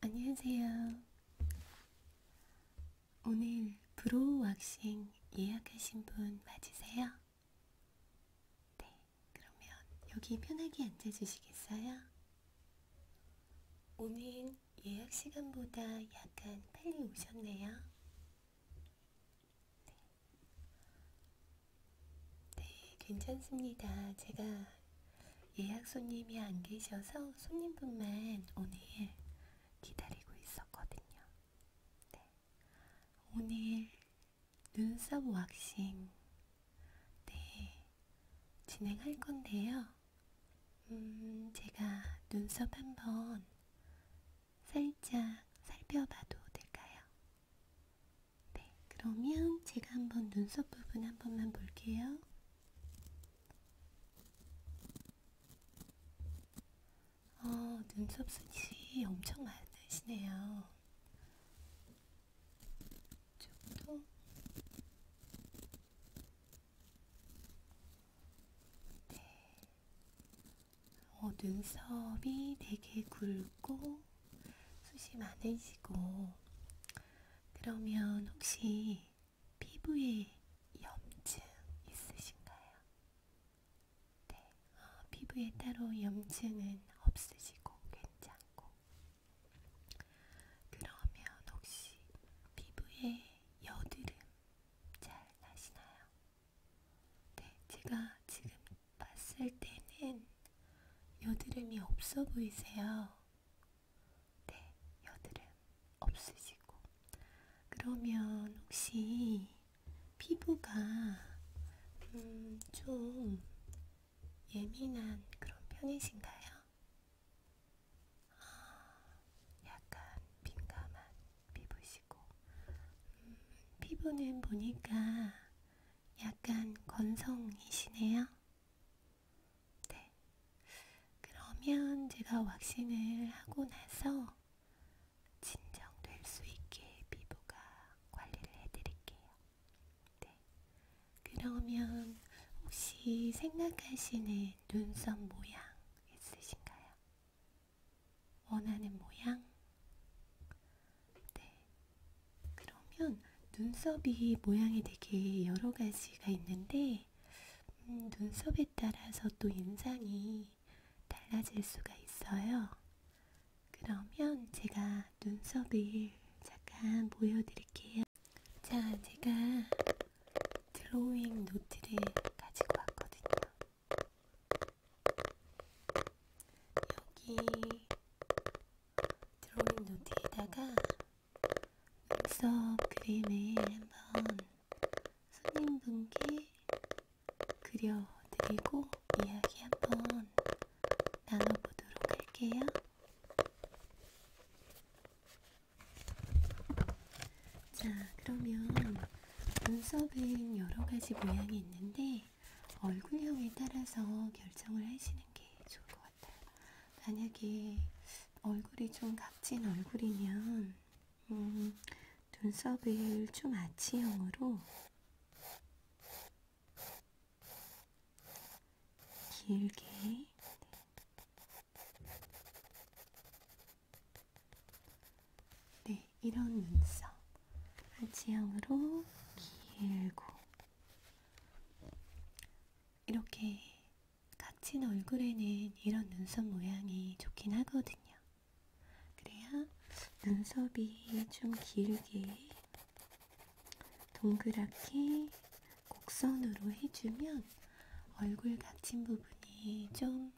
안녕하세요. 오늘 브로우 왁싱 예약하신 분 맞으세요? 네, 그러면 여기 편하게 앉아주시겠어요? 오늘 예약 시간보다 약간 빨리 오셨네요. 네. 네, 괜찮습니다. 제가 예약 손님이 안 계셔서 손님분만 오늘 기다리고 있었거든요. 네. 오늘 눈썹 왁싱 네, 진행할 건데요. 음, 제가 눈썹 한번 살짝 살펴봐도 될까요? 네, 그러면 제가 한번 눈썹 부분 한 번만 볼게요. 어, 눈썹 숱이 엄청 많으시네요. 이쪽도 네, 어, 눈썹이 되게 굵고 하시고 숱이 많으시고 그러면 혹시 피부에 염증 있으신가요? 네, 어, 피부에 따로 염증은 없으시고 괜찮고 그러면 혹시 피부에 여드름 잘 나시나요? 네, 제가 지금 봤을 때는 여드름이 없어 보이세요. 네, 여드름 없으시고. 그러면 혹시 피부가 음, 좀 예민한 그런 편이신가요? 아, 약간 민감한 피부시고 음, 피부는 보니까 약간 건성이시네요. 네. 그러면 제가 왁싱을 하고 나서 진정될 수 있게 피부가 관리를 해드릴게요. 네. 그러면 혹시 생각하시는 눈썹 모양 있으신가요? 원하는 모양? 네. 그러면 눈썹이 모양이 되게 여러 가지가 있는데, 음, 눈썹에 따라서 또 인상이 달라질 수가 있어요. 그러면 제가 눈썹을 잠깐 보여드릴게요. 자, 제가 드로잉 노트를 가지고 왔거든요. 여기 드로잉 노트에다가 눈썹 그림을 한번 손님분께 그려드리고 이야기 한번 나눠보도록 할게요. 자, 그러면 눈썹은 여러 가지 모양이 있는데 얼굴형에 따라서 결정을 하시는 게 좋을 것 같아요. 만약에 얼굴이 좀 각진 얼굴이면 음, 눈썹을 좀 아치형으로 길게 네. 네, 이런 눈썹 아치형으로 길고 이렇게 갇힌 얼굴에는 이런 눈썹 모양이 좋긴 하거든요. 그래야 눈썹이 좀 길게 동그랗게 곡선으로 해주면 얼굴 갇힌 부분이 좀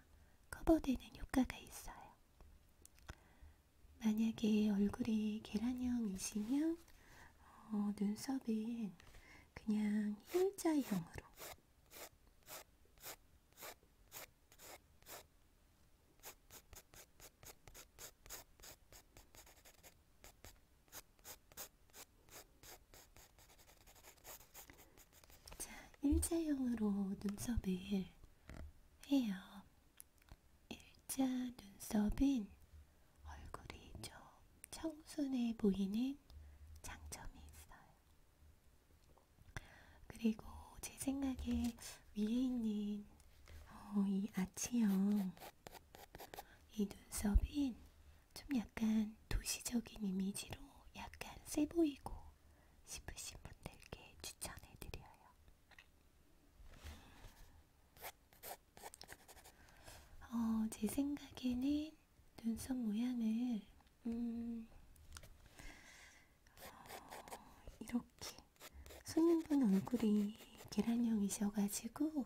커버되는 효과가 있어요. 만약에 얼굴이 계란형이시면 어, 눈썹은 그냥 일자형으로 자, 일자형으로 눈썹을 해요. 일자 눈썹은 얼굴이 좀 청순해 보이는 장점이 있어요. 그리고 제 생각에 위에 있는 어, 이 아치형 이 눈썹은 좀 약간 도시적인 이미지로 약간 세 보이고 싶으신 분들께 추천해드려요. 어, 제 생각에는 눈썹 모양을 음, 어, 이렇게 손님분 얼굴이 계란형이셔가지고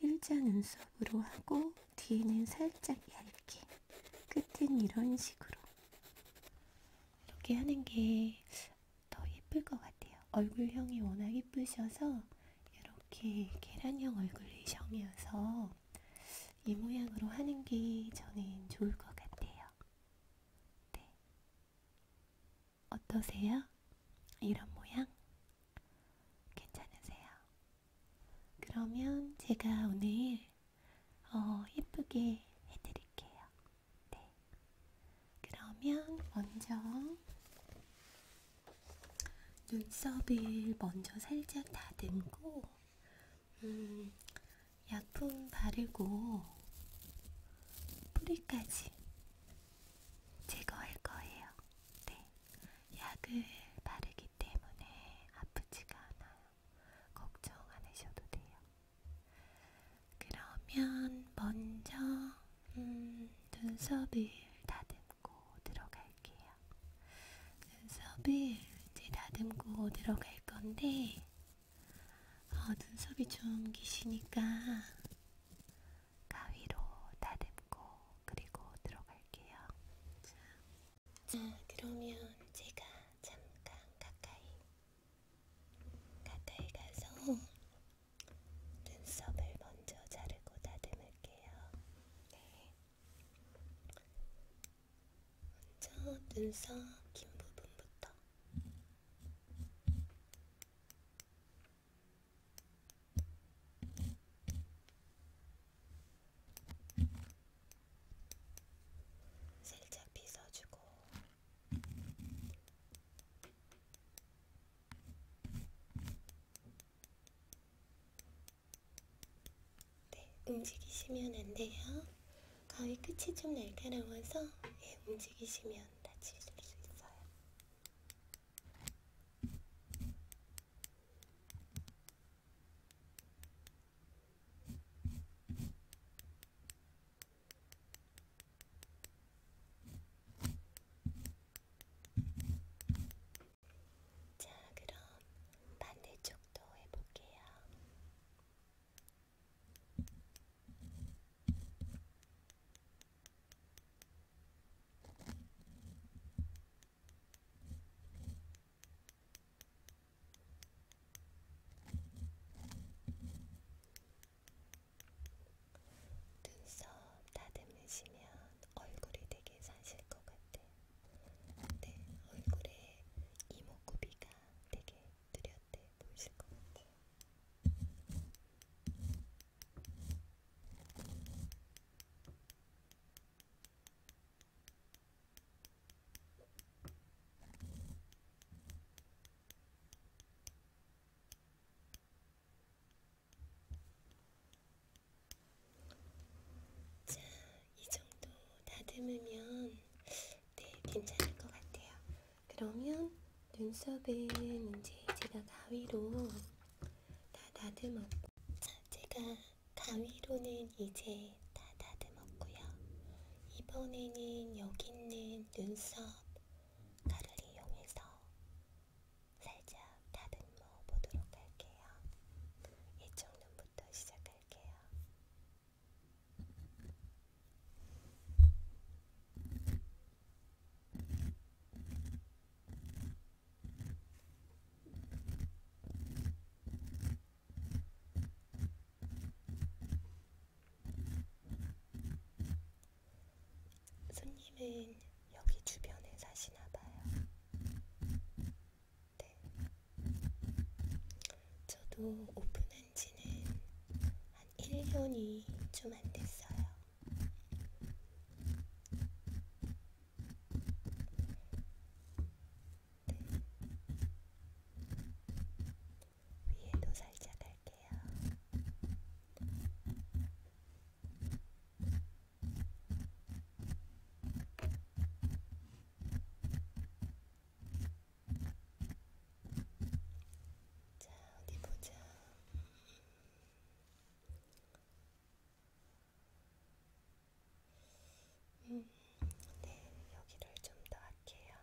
일자 눈썹으로 하고 뒤에는 살짝 얇게 끝은 이런 식으로 이렇게 하는 게더 예쁠 것 같아요. 얼굴형이 워낙 예쁘셔서 이렇게 계란형 얼굴형이어서 이 모양으로 하는 게 저는 좋을 것 같아요. 네. 어떠세요? 이런 모양? 괜찮으세요? 그러면 제가 오늘 어, 예쁘게 해드릴게요. 네. 그러면 먼저 눈썹을 먼저 살짝 다듬고, 음, 약품 바르고 뿌리까지 제거할 거예요. 네. 약을 바르기 때문에 아프지가 않아요. 걱정 안 하셔도 돼요. 그러면 먼저 음, 눈썹을 다듬고 들어갈게요. 눈썹을 이제 다듬고 들어갈 건데 어, 눈썹이 좀 기시니까 가위로 다듬고 그리고 들어갈게요. 자, 자 그러면 제가 잠깐 가까이 가까이 가서 눈썹을 먼저 자르고 다듬을게요. 네. 먼저 눈썹 긴 부분부터. 살짝 빗어주고 네, 움직이시면 안 돼요. 가위 끝이 좀 날카로워서 예, 움직이시면 다칠 수 있어요. 네, 자, 그럼 반대쪽도 해볼게요. 자, 눈썹 다듬으시면 얼굴이 되게 사실 것 같아. 근데 네, 얼굴에 이목구비가 되게 뚜렷해 보이실 것 같아. 음. 자, 이 정도 다듬으면 네, 괜찮을 것 같아요. 그러면 눈썹은 이제 제가 가위로 다 다듬었고 제가 가위로는 이제 다 다듬었고요. 이번에는 여기 있는 눈썹 가를 이용해서 살짝 다듬어 보도록 할게요. 이쪽 눈부터 시작할게요. 이렇게 손님은 여기 주변에 사시나 봐요. 네. 저도 오픈한 지는 한 1년이 좀 안 됐어요. 위에도 살짝 할게요. 자, 어디 보자. 음. 네, 여기를 좀 더 할게요.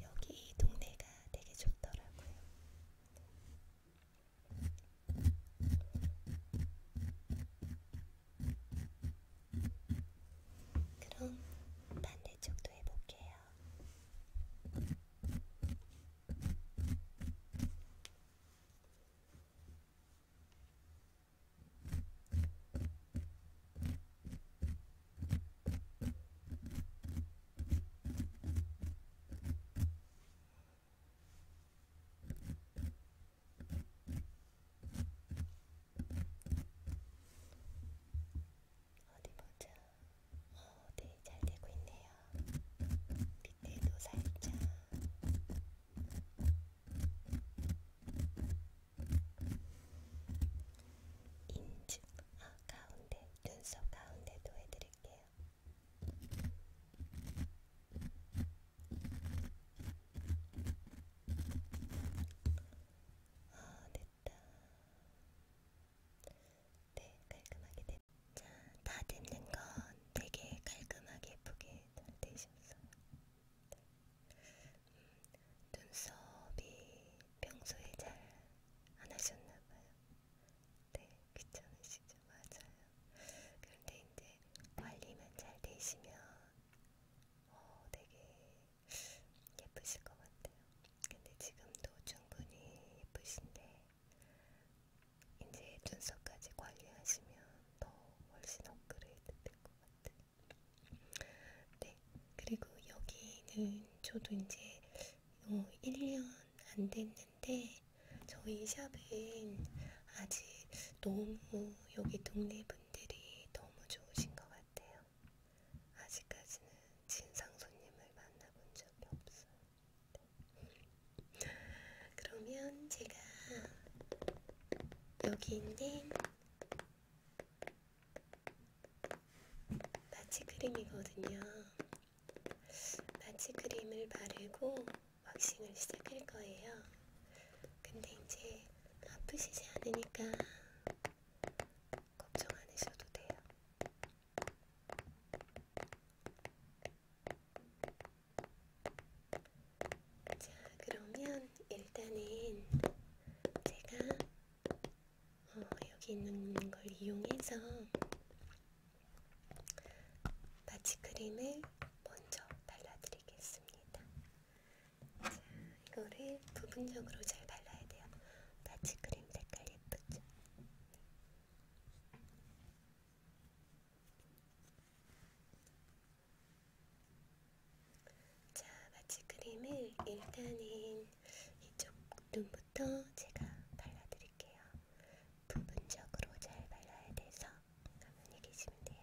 여기 동네가 되게 좋더라고요. 그럼 반대쪽도 해볼게요. 어디 보자. 어, 네, 잘 되고 있네요. 밑에도 살짝. 인중 아, 가운데 눈썹 가운데도 해드릴게요. 아 됐다. 네 깔끔하게 됐. 자 다듬는 건 되게 깔끔하게 예쁘게 잘 되셨어요. 눈썹이 평소에 잘 안 하셨나봐요. 네, 귀찮으시죠? 맞아요. 그런데 이제 관리만 잘 되시면 어, 되게 예쁘실 것 같아요. 근데 지금도 충분히 예쁘신데 이제 눈썹까지 관리하시면 더 훨씬 업그레이드 될 것 같아. 네, 그리고 여기는 저도 이제 어, 1년 안 됐는데 저희 샵은 아직 너무 여기 동네 분들이 너무 좋으신 것 같아요. 아직까지는 진상 손님을 만나본 적이 없어요. 네. 그러면 제가 여기 있는 마취크림이거든요. 마취크림을 바르고 왁싱을 시작할 거예요. 근데 이제 아프시지 않으니까 걱정 안 하셔도 돼요. 자, 그러면 일단은 제가 어, 여기 있는 걸 이용해서 마취크림을 먼저 발라드리겠습니다. 자, 이거를 부분적으로 잘 발라야 돼요. 마취크림 색깔 예쁘죠? 자, 마취크림을 일단은 이쪽 눈부터 제가 발라드릴게요. 부분적으로 잘 발라야 돼서 가만히 계시면 돼요.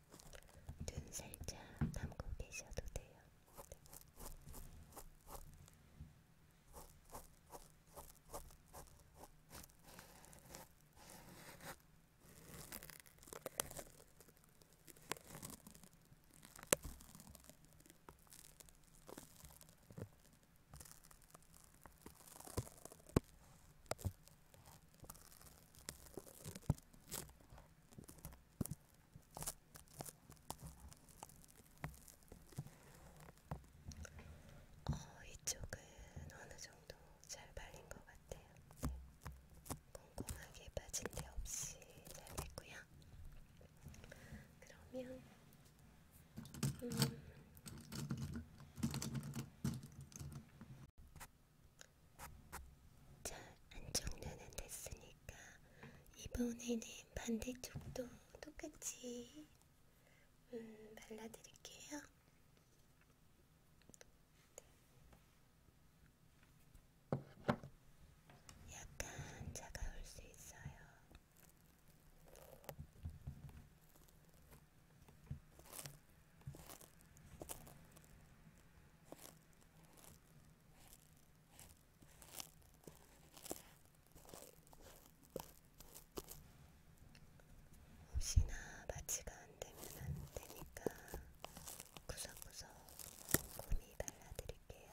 눈 살짝 감고 계셔도 돼요. 어, 이쪽은 어느 정도 잘 발린 것 같아요. 네. 꼼꼼하게 빠진 데 없이 잘 됐고요. 그러면 음, 자, 안쪽 눈은 됐으니까 이번에는 반대쪽도 똑같이 음, 발라드릴게요. 약간 차가울 수 있어요. 자, 혹시나 마취가 안되면 안되니까 구석구석 곰이 발라드릴게요.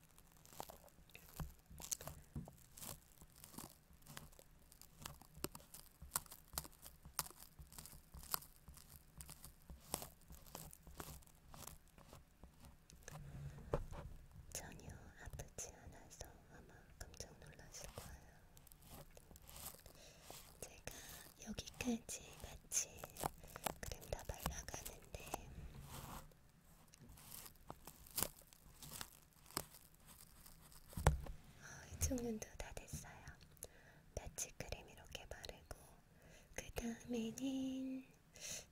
전혀 아프지 않아서 아마 깜짝 놀랐을 거예요. 제가 여기까지 같이 그림 다 발라가는데 어, 이쪽 눈도 다 됐어요. 나치크림 이렇게 바르고 그 다음에는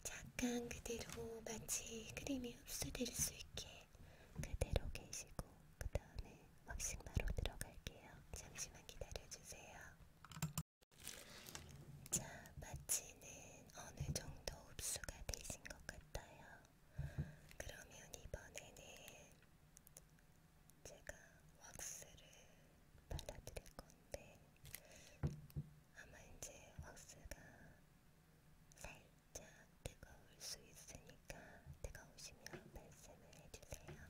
잠깐 그대로 마치 크림이 흡수될 수 있게 그대로 계시고 그 다음에 왁싱 바로 들어갈게요. 잠시만 기다려주세요. 자, 마취는 어느 정도 흡수가 되신 것 같아요. 그러면 이번에는 제가 왁스를 발라드릴 건데, 아마 이제 왁스가 살짝 뜨거울 수 있으니까 뜨거우시면 말씀을 해주세요.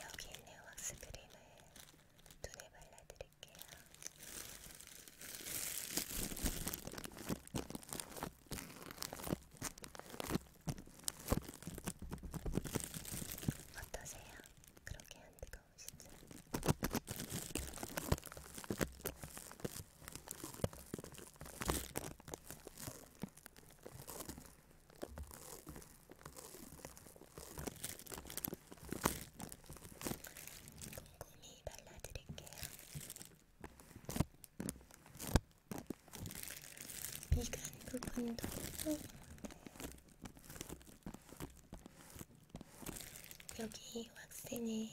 여기 있는 왁스 크림을 눈에 발라드릴게요. 어떠세요? 그렇게 안 뜨거우시죠? 곰곰이 발라드릴게요. 미간 부분도 여기 왁스는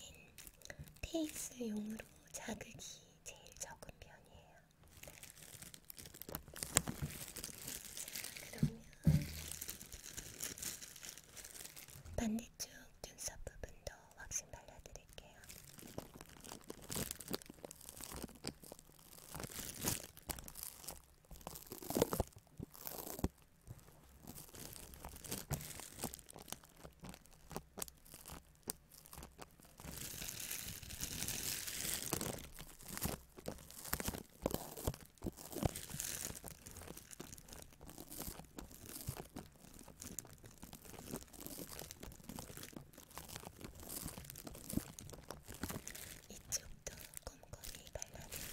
페이스용으로 자극이 제일 적은 편이에요. 그러면 반대쪽 눈썹 부분도 왁싱 발라드릴게요. 이쪽도 꼼꼼히 발라드릴게요.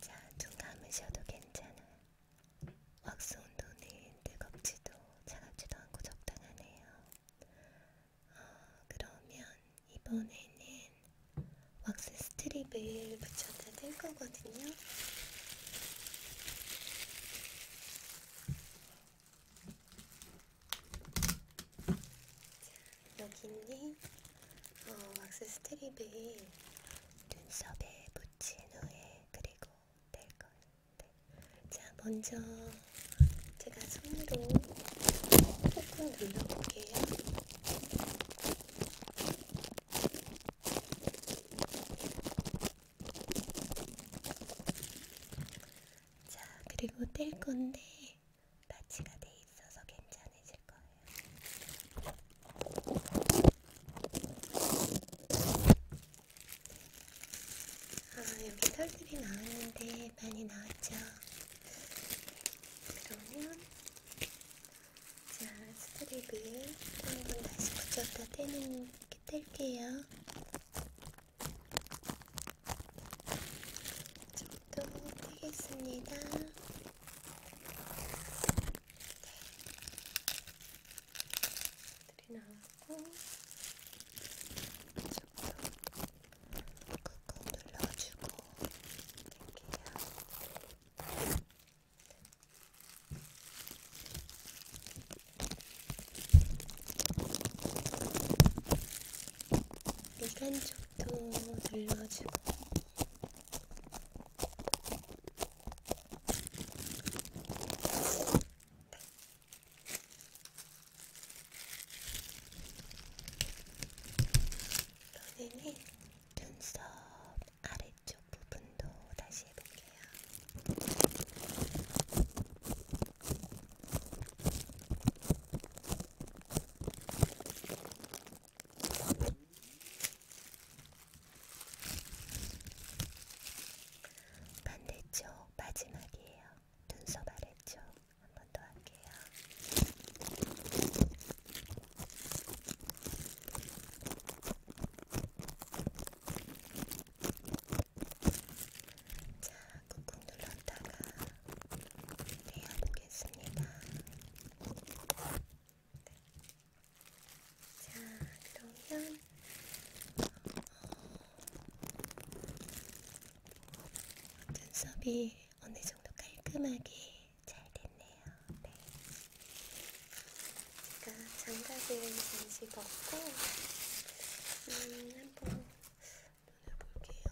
자, 눈 감으셔도 괜찮아. 왁스 온도는 뜨겁지도 차갑지도 않고 적당하네요. 어, 그러면 이번에는 왁스 스트립을 붙여 다될 거거든요. 여기는 어, 왁스 스트립을 눈썹에 붙인 후에 그리고 뗄 거예요. 자, 먼저 제가 손으로 꾹꾹 눌러볼게요. 자, 그리고 뗄 건데 마취가 돼 있어서 괜찮으실 거예요. 아, 여기 털들이 나왔는데 많이 나왔죠? 그러면 자, 스트립을 한 번 다시 붙였다 떼는, 이렇게 뗄게요. 좀더 떼겠습니다. 스트립 나왔고, 조금 꾹꾹 눌러주고, 뗄게요. 일간 쪽도 늘려주고 너네는 눈썹 아래쪽 부분도 다시 해볼게요. 반대쪽 마지막이에요. 눈썹 아래쪽 한 번 더 할게요. 자, 꾹꾹 눌렀다가 내어보겠습니다. 자, 그러면 어, 눈썹이 어느 정도 깔끔하게 잘 됐네요. 네. 제가 장갑을 잠시 벗고 음, 한번 눈을 볼게요.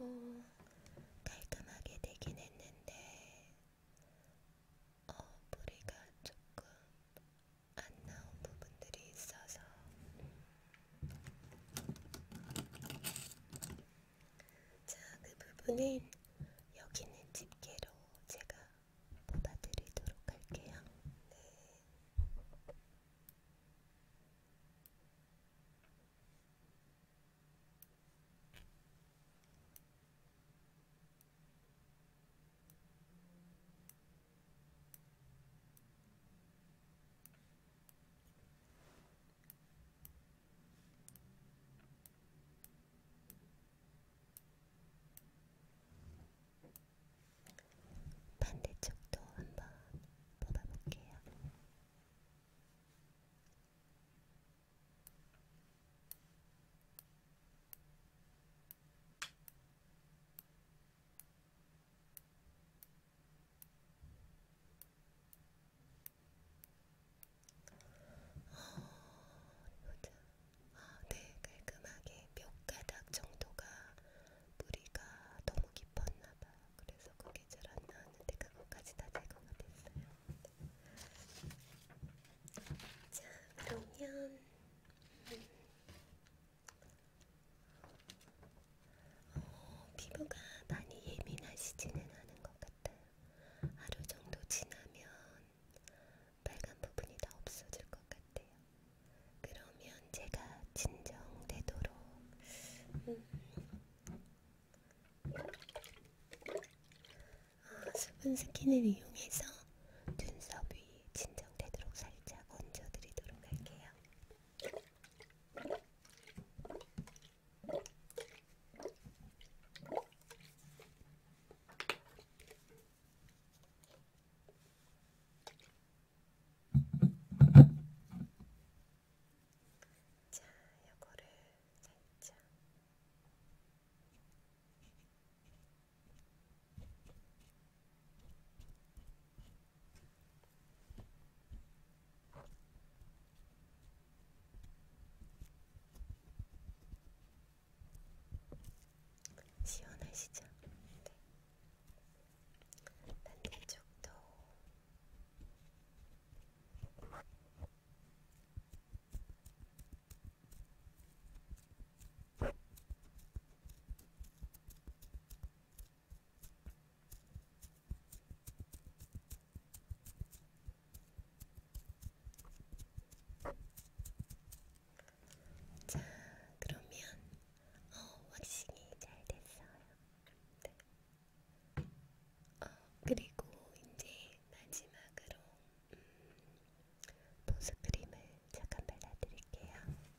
오, 어, 깔끔하게 되긴 했는데 어, 뿌리가 조금 안 나온 부분들이 있어서 음, 자, 그 부분은 여기 는 집게로 제가 뽑아드리도록 할게요. 네. 자, 반대쪽도 한번 뽑아볼게요. 보자. 아, 아, 네, 깔끔하게 몇 가닥 정도가 뿌리가 너무 깊었나봐. 그래서 그게 잘 안 나왔는데 그것까지 다 제거가 됐어요. 자, 그러면 음, 어, 피부가 많이 예민하시지는 않은 것 같아요. 하루 정도 지나면 빨간 부분이 다 없어질 것 같아요. 그러면 제가 진정되도록 음. 어, 수분 스킨을 이용해서 눈썹이 진정되도록 살짝 얹어드리도록 할게요. 자, 요거를 살짝 시원하시죠? 네. 반대쪽도 자, 그러면 어, 확실히 잘 됐어요. 네. 어, 그리고 이제 마지막으로 음, 보습크림을 잠깐 발라드릴게요.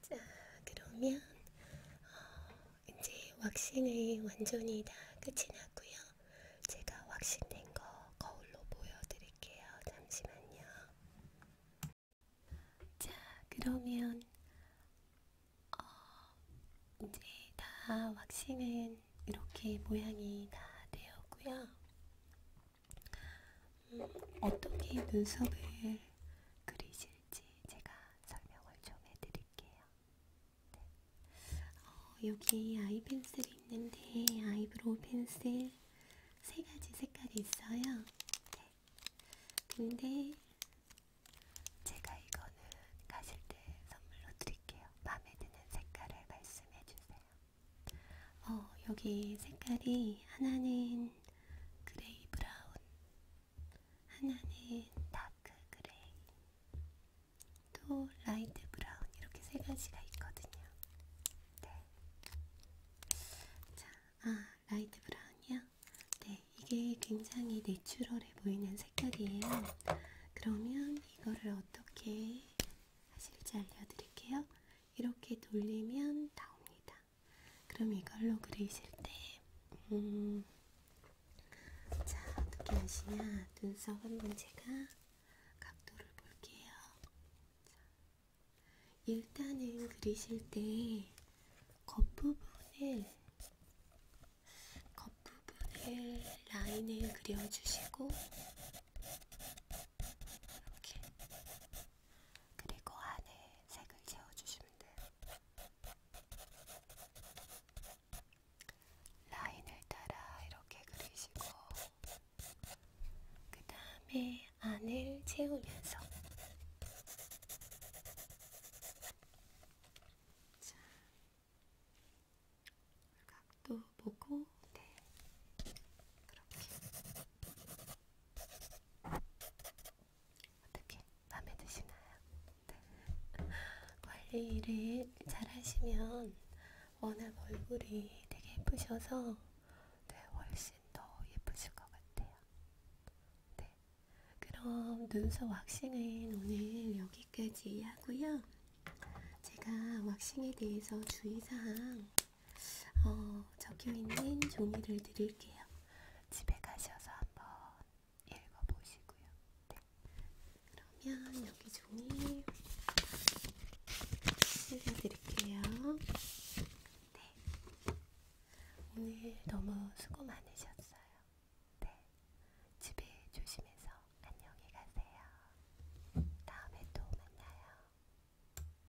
자, 그러면 어, 이제 왁싱을 완전히 다 끝이 났고요. 제가 왁싱된 거 거울로 보여드릴게요. 잠시만요. 자, 그러면 어, 이제 다 왁싱은 이렇게 모양이 다 되었고요. 어떻게 눈썹을 그리실지 제가 설명을 좀 해드릴게요. 네. 어, 여기 아이 펜슬이 있는데 아이브로우 펜슬 세 가지 색깔이 있어요. 네. 근데 제가 이거는 가실 때 선물로 드릴게요. 마음에 드는 색깔을 말씀해 주세요. 어, 여기 색깔이 하나는 그레이 브라운, 하나는 다크 그레이, 또 라이트 브라운 이렇게 세 가지가 있거든요. 네. 자, 아 라이트 브라운이요. 네, 이게 굉장히 내추럴해 보이는 색깔이에요. 그러면 이거를 어떻게 하실지 알려드릴게요. 이렇게 돌리면 나옵니다. 그럼 이걸로 그리실 때, 음, 자, 어떻게 하시냐. 눈썹 한번 제가 각도를 볼게요. 자, 일단은 그리실 때, 겉부분을, 겉부분을 라인을 그려주시고, 이렇게 그리고 안에 색을 채워주시면 돼요. 라인을 따라 이렇게 그리시고 그 다음에 안을 채우면서 자, 각도 보고 네 그렇게 어떻게 마음에 드시나요? 네. 관리를 잘 하시면 워낙 얼굴이 되게 예쁘셔서 네, 훨씬 더 예쁘실 것 같아요. 네. 그럼 눈썹 왁싱은 오늘 여기까지 하고요. 제가 왁싱에 대해서 주의사항 어, 적혀있는 종이를 드릴게요. 집에 가셔서 한번 읽어보시고요. 네. 그러면 여기 종이 실려드릴게요. 네. 오늘 너무 수고 많으셨어요. 네. 집에 조심해서 안녕히 가세요. 다음에 또 만나요.